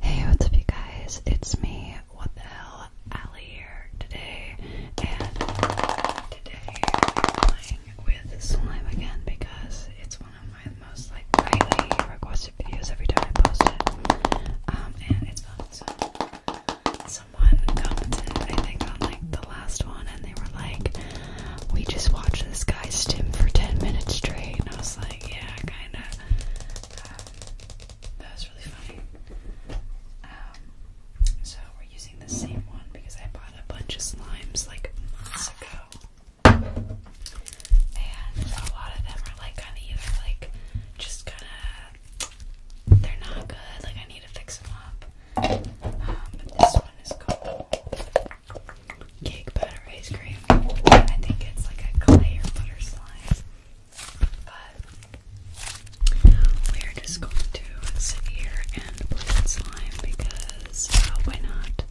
Hey, what's up, you guys? It's me, what the hell, Allie here today, and today we playing with slime again because it's one of my most like highly requested videos every time I post it. Um, and it's fun. So someone commented, I think, on like the last one, and they were like, "We just watched this guy stim for ten minutes straight," and I was like, "Yeah, kind of." Um, that was really funny. Um, so we're using the same one because I bought a bunch of slimes like months ago, and a lot of them are like kind of either like just kind of they're not good. Like I need to fix them up. Um, but this one is called Cake Batter Ice Cream. I think it's like a clay butter slime. But we're just going to sit here and play slime because oh, why not?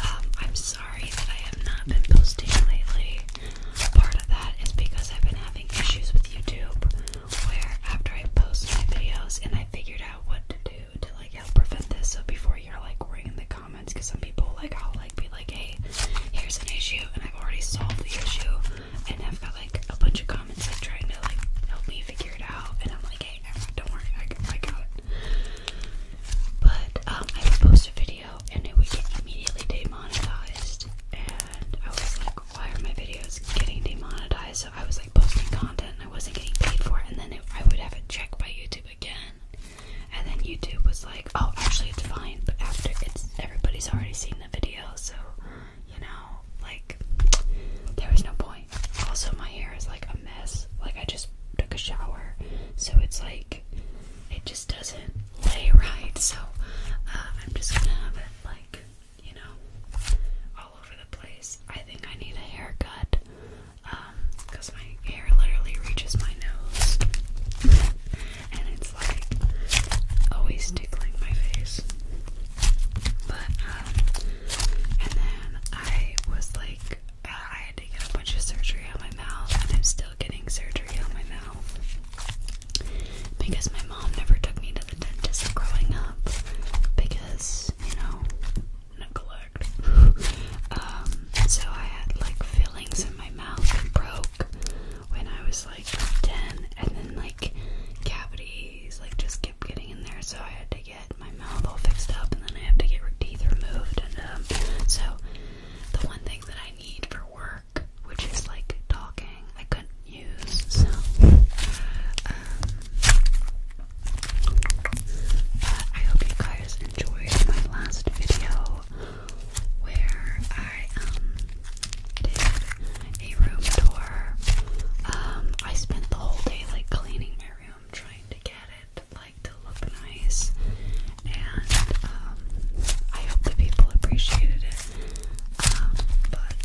Um, I'm sorry that I have not been posting lately. Part of that is because I've been having issues with YouTube where after I post my videos and I figured out what to do to like help prevent this so before you're like worrying the comments because some people like I'll like be like, hey, here's an issue, and I've already solved the issue, and I've got like a bunch of comments like trying to like help me figure it out, and I'm like, hey, don't worry, I, I got it. But um, I would post a video, and it would get immediately demonetized, and I was like, why are my videos getting demonetized? So I was like posting content, and I wasn't getting paid for it, and then it, I would have it checked by YouTube again and then YouTube was like, "Oh, actually, it's fine." But after it's everybody's already seen the video, so you know, like there was no point. Also, my hair is like a mess. Like I just took a shower, so it's like it just doesn't lay right. So uh, I'm just gonna have it like you know all over the place. I think I need a haircut. Uh, because my hair literally reaches my nose, and it's like always tickling my face. But um, and then I was like, I had to get a bunch of surgery on my mouth, and I'm still getting surgery on my mouth because my mom never took me to the dentist growing up because you know neglect. um, so I had like fillings in my my mouth broke when I was like 10, and then like cavities like just kept getting in there, so I had to get my mouth all fixed up, and then I have to get teeth removed. And um, so the one thing that I need for work, which is like talking, I couldn't use. So, um, but I hope you guys enjoyed my last video where I um, did a room tour. Um, I spent the whole day like cleaning my room, trying to get it like to look nice, and um, I hope the people appreciated it. but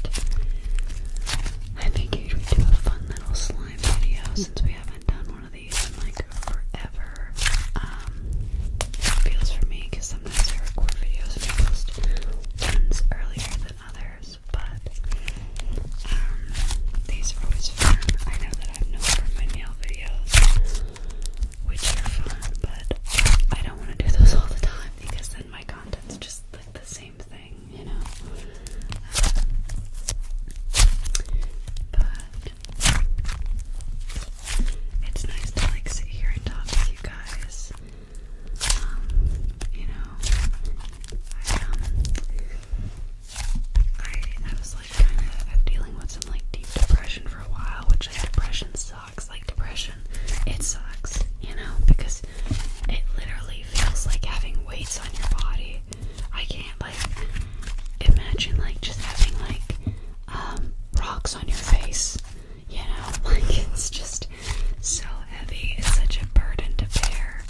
I figured we'd do a fun little slime video since we haven't done one of like forever. Um, feels for me because sometimes I record videos and ones earlier than others, but um, these are always fun. I know that I'm known for nail videos, which are fun, but I don't want to do those all the time because then my content's just like the same thing, you know. Um, but it's nice to like sit here and talk with you guys. Um, you know, I um, I, I was like kind of uh, dealing with some like deep depression for a while, which like depression sucks. Like depression, it sucks. You know, because it literally feels like having weights on your body I can't like imagine like just having like um, rocks on your face. You know, like it's just so heavy. It's such a burden to bear,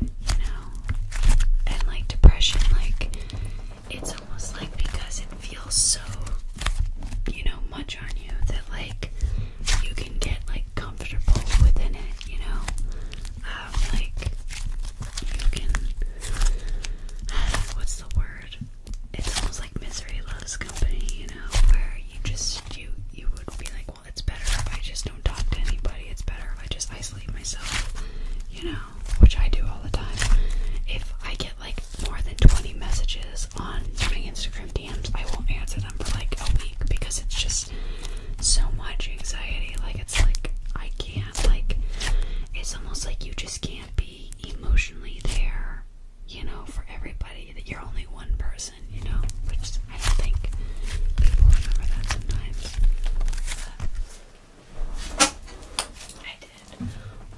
you know. And like depression, like it's almost like because it feels so you know much on you that like you can get like comfortable within it, you know like you can what's the word? It's almost like misery loves company, you know, where you just you you would be like, well, it's better if I just don't talk to anybody. It's better if I just isolate myself, you know, which I do all the time. If I get like more than 20 messages on my Instagram DMs, I won't answer them for like a week because it's just so much anxiety. Like it's like I can't like it's almost like you just can't be emotionally there, you know, for everybody that you're only one person, you know, which I don't think people remember that sometimes. I did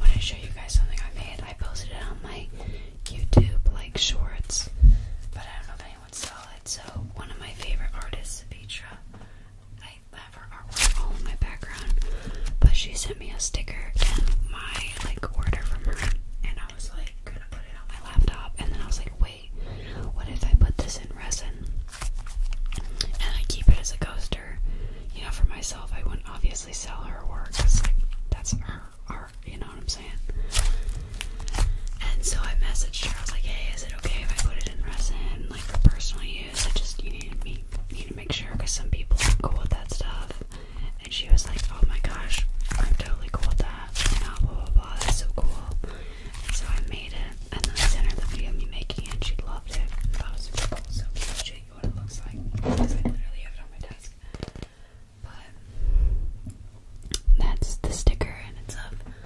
want to show you guys something I made. I posted it on my YouTube like shorts, but I don't know if anyone saw it. So one of my favorite artists, Vitra, have her artwork all in my background, but she sent me a sticker and my like order from her, and I was like gonna put it on my laptop, and then I was like, wait, what if I put this in resin? And I keep it as a coaster, you know, for myself. I wouldn't obviously sell her work like, that's her art, you know what I'm saying? And so I messaged her. I was like, hey, is it okay if I put it in resin, like for personal use? I just you need to to make sure because some people are cool with that stuff. And she was like, "Oh my gosh, I'm totally cool with that." You know, blah blah blah. That's so cool. And so I made it, and then I sent her the video of me making it. and She loved it. I was super cool. So I'll show you what it looks like because I literally have it on my desk. But that's the sticker, and it's of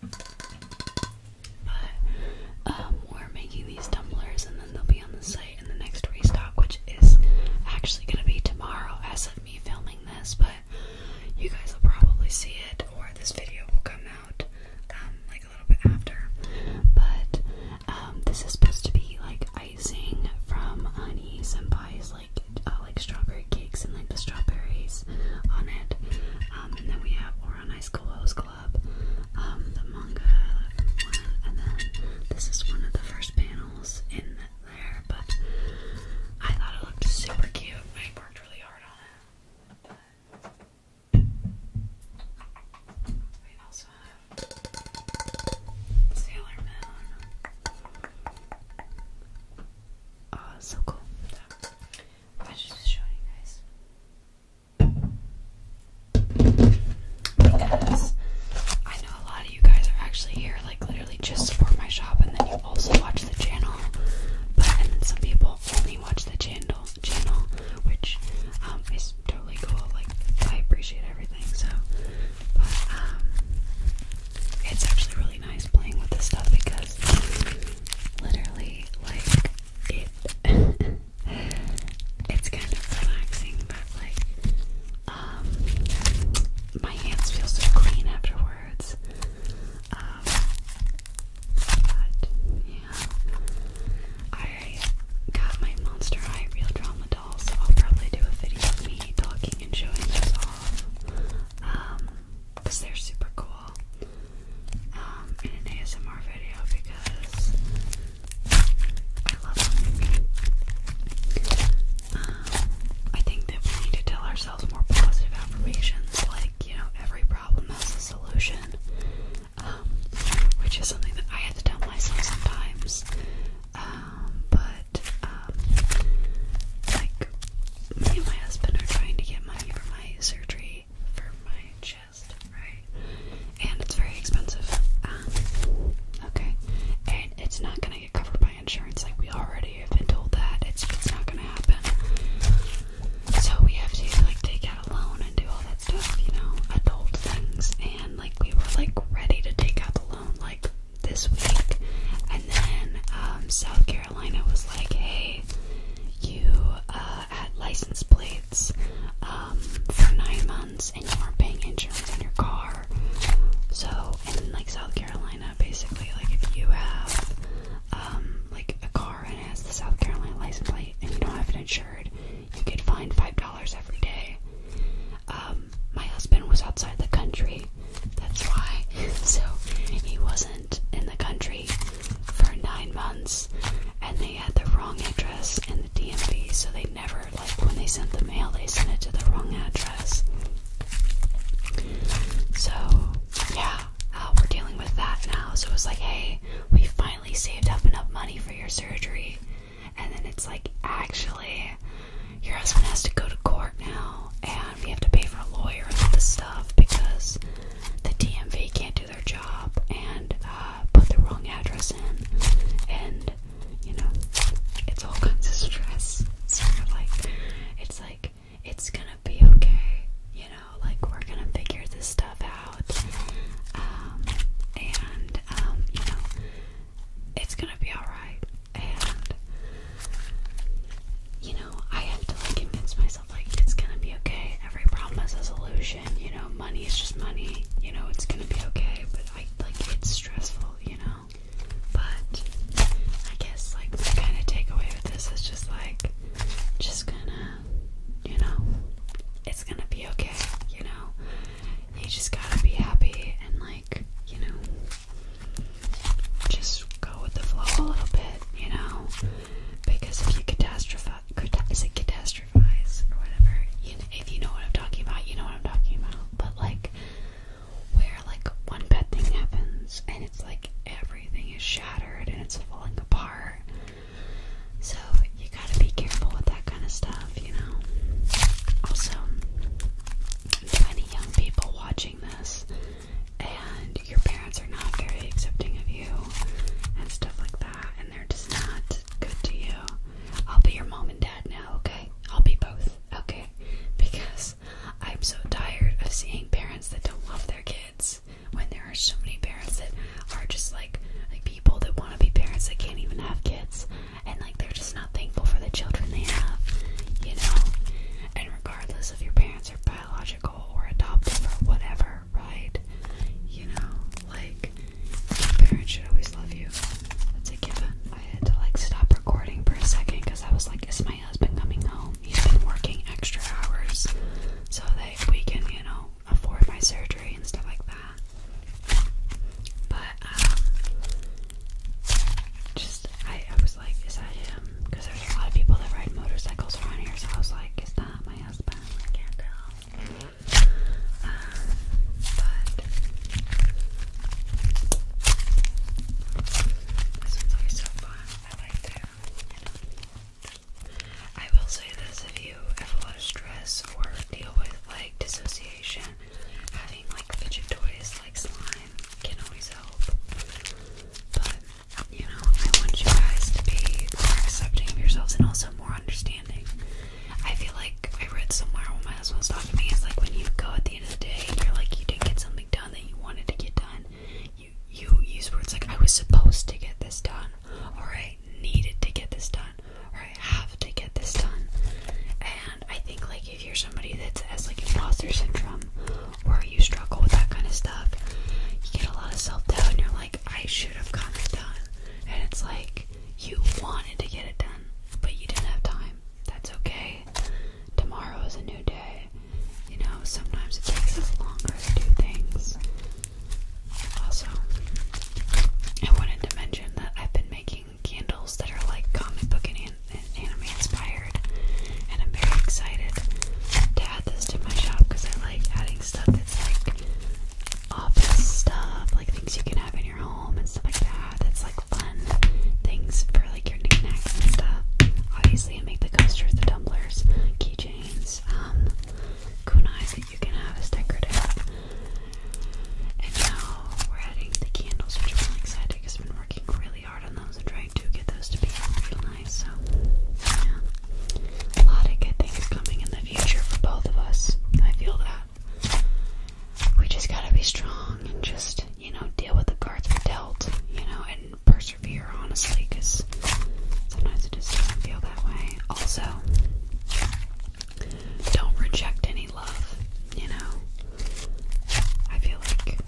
but um, we're making these tumblers and then they'll be on the site in the next restock, which is actually going to be tomorrow as of me filming this. But you guys will probably see it, or this video will come out um, like a little bit after. But um, this is supposed to be like icing from Honey Senpai's like. Uh, like strawberry cakes and like the strawberries on it. Um, and then we have Oran Ice Clothes Club, um, the manga one, and then this is one of the first panels in there. But I thought it looked super cute. I worked really hard on it. we also have Sailor Moon. Oh, so cool. So, I should just show you guys. Because I know a lot of you guys are actually here, like literally just support my shop, and then you also watch the channel. But and then some people only watch the channel, channel, which um, is totally cool. Like I appreciate everything. So, but um, it's actually really nice playing with this stuff because literally, like, it it's kind of relaxing, but like, um, my hands feel so clean afterwards. Um, but yeah, I got my Monster High Real Drama doll, so I'll probably do a video of me talking and showing this off. Um, because they're super cool um, in an ASMR video because I love them. Um, I think that we need to tell ourselves more positive affirmations, like, you know, every problem has a solution, um, which is something that I had to tell myself sometimes. but um, like me and my husband are trying to get money for my surgery for my chest, right? And it's very expensive. Um, okay, and it's not gonna get covered by insurance. Like we already have been told that it's it's not gonna happen. So we have to like take out a loan and do all that stuff, you know, adult things. And like we were like ready to take out the loan like this week. And then um, South Carolina was like, hey, you had uh, license plates um, for nine months and you weren't paying insurance on your car. So, in like South Carolina, basically, like if you have um, like a car and it has the South Carolina license plate and you don't have it insured, you get fined $5 every day my husband was outside the country. That's why. So he wasn't in the country for nine months, and they had the wrong address in the DMV. So they never like when they sent the mail, they sent it to the wrong address. So yeah, uh, we're dealing with that now. So it was like, hey, we finally saved up enough money for your surgery, and then it's like, actually, your husband has to go to court now, and we have to pay for a lawyer and all this stuff because the DMV can't do their job and uh, put the wrong address in, and you know, it's all kinds of stress. Sort of like, it's like it's gonna be okay, you know, like we're gonna figure this stuff out, um, and um, you know, it's gonna be all right and you know, I have to like convince myself like it's gonna be okay. Every problem has a solution, you know, money is just money, you know, it's gonna be okay, but I like it's stressful, you know. But I guess like the kind of takeaway with this is just like just gonna you know, it's gonna be okay, you know. You just gotta be happy and like, you know, just go with the flow a little bit, you know? Because if you catastrophize, is it catastrophize or whatever? if you know what I'm talking about, you know what I'm talking about. But like, where like one bad thing happens and it's like everything is shattered and it's falling apart. So you gotta be careful with that kind of stuff, you know? Also, any young people watching watching this and your parents are not very accepting of you and stuff like that, and they're just not good to you, I'll be your mom and dad now, okay? I'll be both, okay? Because I'm so tired of seeing parents that don't love their kids when there are so many parents that are just like like people that want to be parents that can't even have kids and like they're just not thankful for the children they have, you know. And regardless if your parents are biological or adoptive or whatever, right? You know, like your parents should always love you. That's a given. I had to like stop recording for a second because I was like, is my husband coming home? He's been working extra hours so that we can, you know, afford my surgery and stuff like that. But um, just I, was like, is that him? Because there's a lot of people that ride motorcycles around here, so I was like, is that my husband? I can't tell. but this one's always so fun. I like to, I will say this: if you have a lot of stress or deal with like dissociation again, having like fidget toys like slime can always help. But you know, I want you guys to be more accepting of yourselves and also more understanding. I feel like I read somewhere when my husband was talking to me, it's like when you go at the end of the day and you're like you didn't get something done that you wanted to get done, you you use words like I was supposed to get this done or I needed to get this done or I have to get this done. And I think like if you're somebody that has like imposter syndrome or you struggle with that kind of stuff, you get a lot of self doubt and you're like, I should have gotten it done. And it's like you wanted to get it done, but you didn't have time. That's okay. Tomorrow is a new day. You know, sometimes it takes us longer to do things. Also, I wanted to mention that I've been making candles that are like comic book and, anime inspired, and I'm very excited to add this to my shop because I like adding stuff that's like office stuff, like things you can have in your home and stuff like that. That's like fun things for like your necklaces and stuff. Obviously, I make the coasters, the tumblers, keychains, um, kunais that you can have as decorative. And now we're adding the candles, which I'm really excited because working really hard on those and trying to get those to be real nice. So, yeah. A lot, of good things coming in the future for both of us. I feel that. We just gotta be strong and just, you know, deal with the cards we're dealt, you know, and persevere, honestly, because sometimes it just doesn't feel that way. Also, don't reject any love, you know? I feel like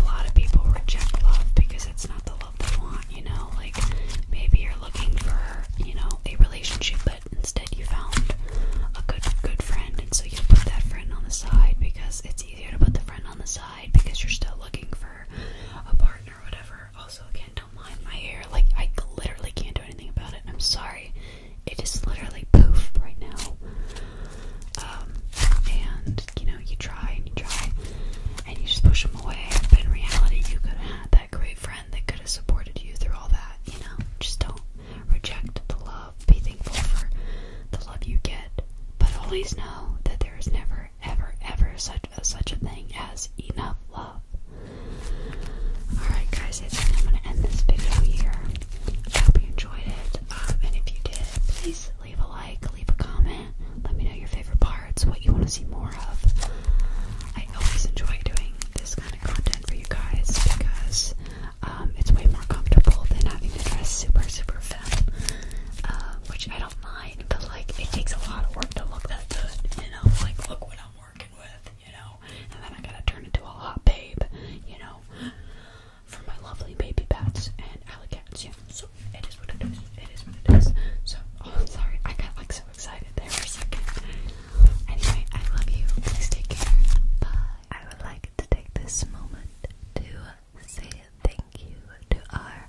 a lot of people reject love because it's not the love they want, you know? Like, maybe you're looking for, you know, a relationship, but instead you found a good, good friend, and so you put that friend on the side because it's easier to put the friend on the side because you're still looking for a partner or whatever. Also, again, don't mind my hair. Like, I literally can't do anything about it, and I'm sorry. It is literally poof right now. Um, and you know, you try and you try and you just push them away. But in reality, you could have had that great friend that could have supported you through all that. You know, just don't reject the love. Be thankful for the love you get, but always know that there is never, ever, ever such a, such a thing as enough love. Alright guys, I think I'm going to end this video here. hope you enjoyed enjoyed it. Um, and if you did, please leave a like, leave a comment. Let me know your favorite parts, what you want to see more of. I always enjoy doing this kind of content for you guys because um, it's way more comfortable than having to dress super, super thin, um, which I don't mind, but like it takes a lot of work to look that good, you know? Like, look what I'm working with, you know? and then I gotta turn into a hot babe, you know, for my lovely baby bats and alley cats. Yeah, so it is what it is. It is what it is. So, oh, sorry, I got like so excited there for a second. Anyway, I love you. Please take care. Bye. I would like to take this moment to say thank you to our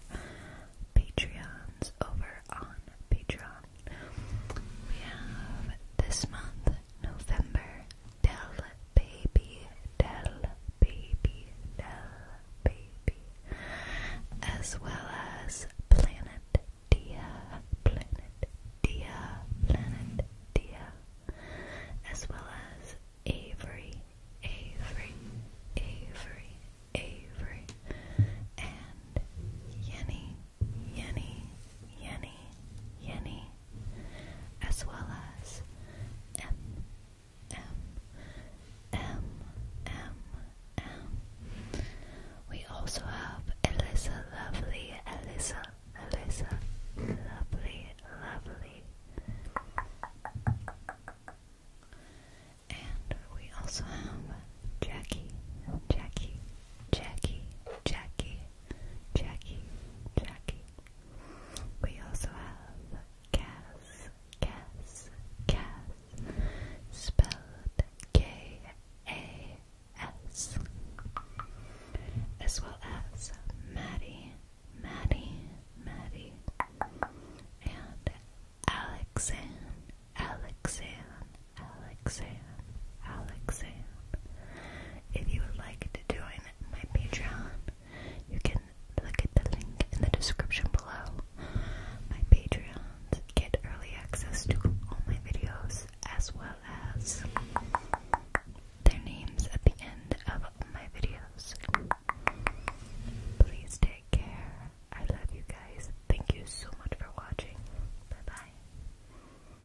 Patreons over on Patreon. We have this month, November, Dell baby, Dell baby, Dell baby, as well as Planet Dia, Planet Dia, Planet Dia, as well as Avery, Avery, Avery, Avery, and Yenny, Yenny, Yenny, Yenny, as well as M M M M M. We also have Elisa Lovely, Elisa, Elisa, Lovely, Lovely. And we also have Jackie, Jackie, Jackie, Jackie, Jackie, Jackie. We also have Cass, Cass, Cass, spelled K-A-S, as well as Maddie, Maddie, Maddie, and Alexander, Alexander, Alexander. Alexan. If you would like to join my Patreon, you can look at the link in the description below. My Patreons get early access to all my videos as well as their names at the end of my videos. Please take care. I love you guys. Thank you so much for watching. Bye bye.